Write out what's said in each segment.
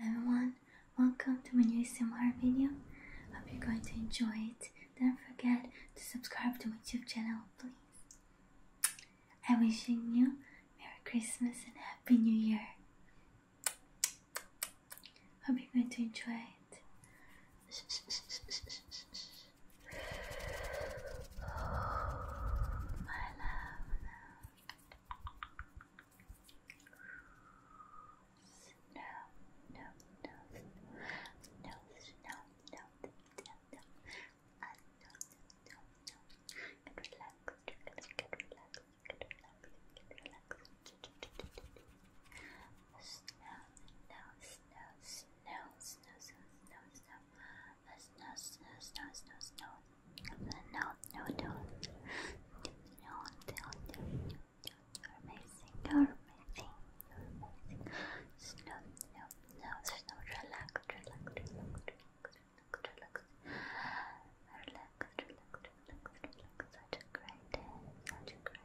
everyone, welcome to my new ASMR video. Hope you're going to enjoy it. Don't forget to subscribe to my YouTube channel, please. I wishing you Merry Christmas and Happy New Year. Hope you're going to enjoy it. Oh, my love, no. No, no, no, no, no, no, no, no. I don't, no, no. Get relaxed, get relaxed, get relaxed, get relaxed. Snow, no, snow, snow snow, snow, snow, snow, snow, snow, snow, snow, snow, snow, no, no, don't, no, don't, don't, you're amazing, you're amazing, you're amazing, snow, snow, snow, snow, relax, relax, relax, relax, relax, relax, relax, relax, relax, such a great day, such a great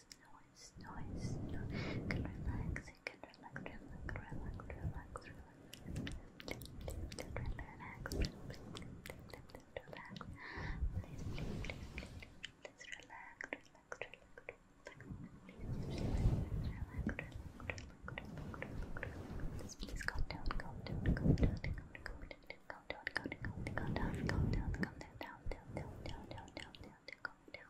noise, noise, noise. can relax, can relax, relax, relax, relax, relax. Relax, relax, relax. Please, please, please, please, please relax, relax, relax. Please, relax, relax, Please calm down, calm down, calm down, calm down, calm down, calm down, calm down, calm down, calm down, calm down, calm down, calm down, calm down, calm down, calm down, calm down, calm down, calm down, calm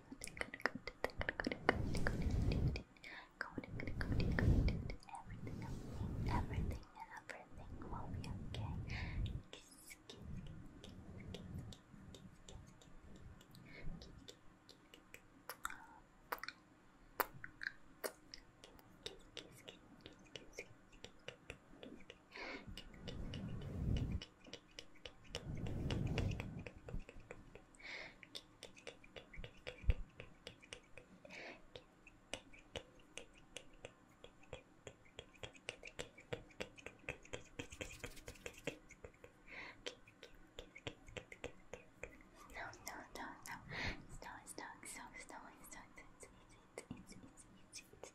everything and everything will be okay. Kiss, kiss, kiss, kiss, kiss, kiss, kiss, kiss, kiss, kiss, kiss, kiss, no, no, no, no. Stop, stop, stop, stop, stop. It's, it's, it's, it's, it's, it's,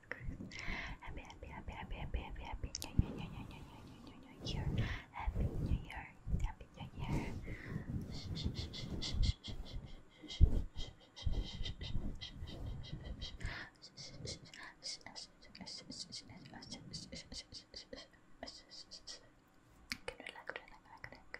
Christmas. Happy, happy, happy, happy, happy, happy, happy New Year, New Year, New Year, New Year, New Year. Happy New Year, Happy New Year. Good luck, good luck, good luck.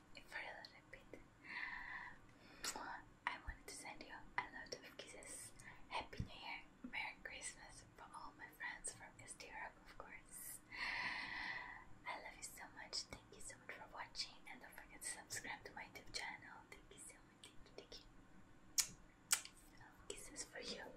for a little bit. I wanted to send you a lot of kisses. Happy New Year, Merry Christmas for all my friends from East Europe, of course. I love you so much. Thank you so much for watching, and don't forget to subscribe to my YouTube channel. Thank you so much. Thank you. Thank you. Kisses for you.